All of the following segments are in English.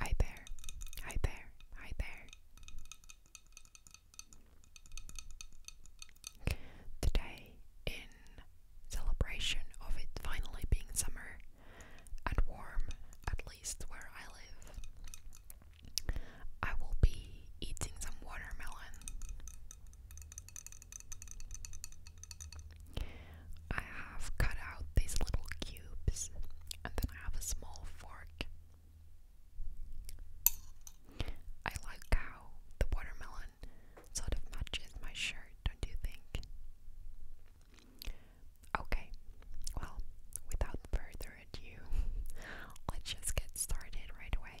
Hi there, hi there, hi there. Today, in celebration of it finally being summer and warm, at least where I live, I will be eating some watermelon I have cut out these little cubes, and then I have a small fork. I like how the watermelon sort of matches my shirt, do you think? Okay, well, without further ado, let's just get started right away.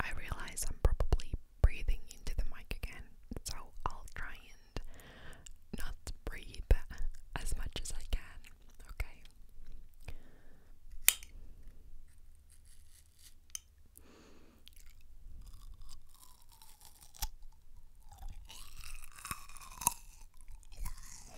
I realize I'm probably breathing into the mic again, so I'll try and not breathe as much as I can, okay?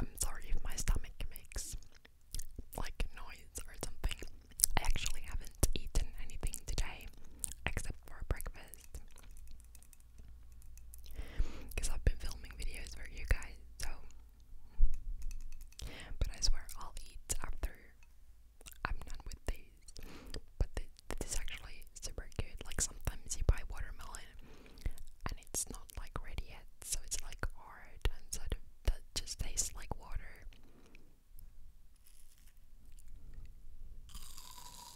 I'm sorry if my stomach makes like noise or something. I actually haven't eaten anything today except for breakfast. Because I've been filming videos for you guys, so. But I swear I'll eat after I'm done with these. But th this is actually super good. Like sometimes you buy watermelon and it's not like ready yet, so it's like hard and sort of that just tastes like water.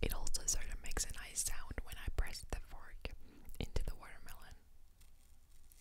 It also sort of makes a nice sound when I press the fork into the watermelon.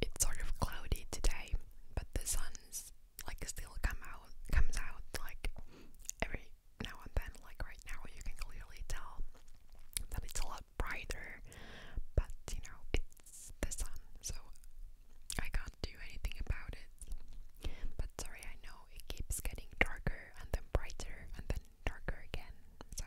It's sort of cloudy today, but the sun's like still come out comes out like every now and then, like right now, you can clearly tell that it's a lot brighter, but you know, it's the sun, so I can't do anything about it. But sorry, I know it keeps getting darker and then brighter and then darker again, so.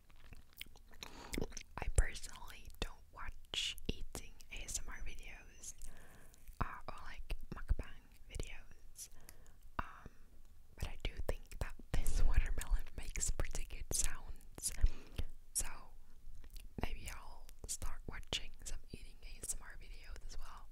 I personally don't watch eating ASMR videos uh, or like mukbang videos, um, but I do think that this watermelon makes pretty good sounds. So maybe I'll start watching some eating ASMR videos as well.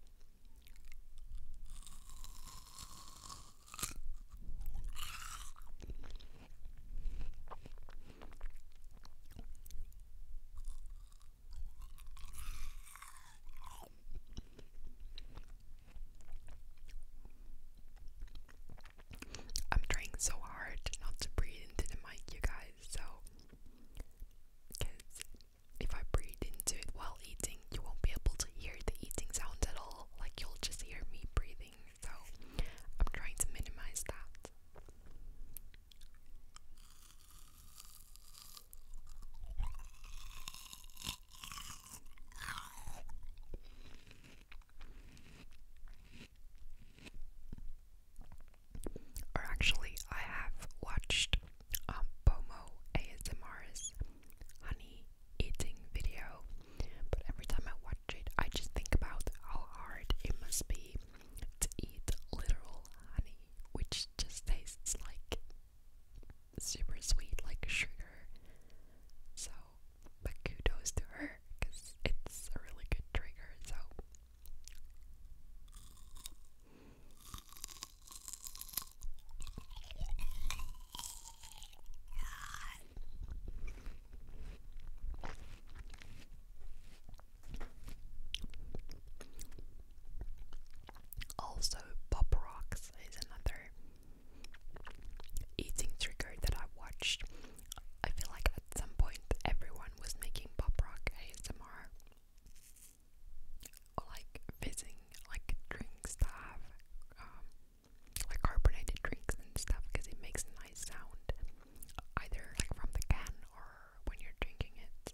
I'm trying so hard not to breathe into the mic, you guys, so because if I breathe into it while eating, you won't be able to hear the eating sounds at all. Like, you'll just hear me breathing so I'm trying to minimize that. Or actually, I have watched Bomo um, ASMR's Honey eating video, but every time I watch it, I just think about how hard it must be to eat literal honey, which just tastes like super sweet, like sugar. So, but kudos to her because it's a really good trigger. So. Also, Pop Rocks is another eating trigger that I watched. I feel like at some point everyone was making Pop Rock ASMR like fizzing, like drink stuff, like carbonated drinks and stuff because it makes a nice sound, either like from the can or when you're drinking it.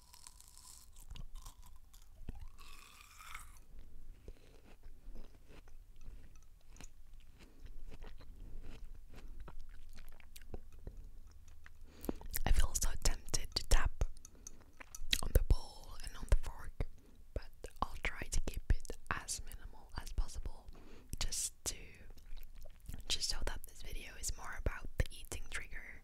I feel so tempted to tap on the bowl and on the fork, but I'll try to keep it as minimal as possible just to just so that this video is more about the eating trigger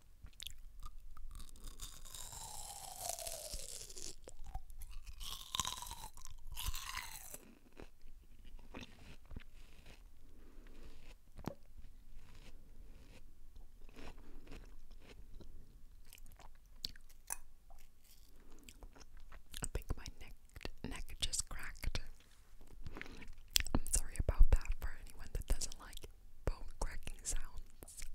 I think my neck neck just cracked. I'm sorry about that for anyone that doesn't like bone cracking sounds.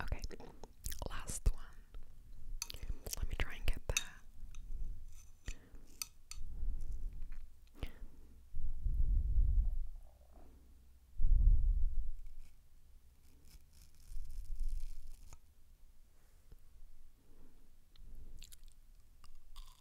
Okay, last one. Let me try and get there.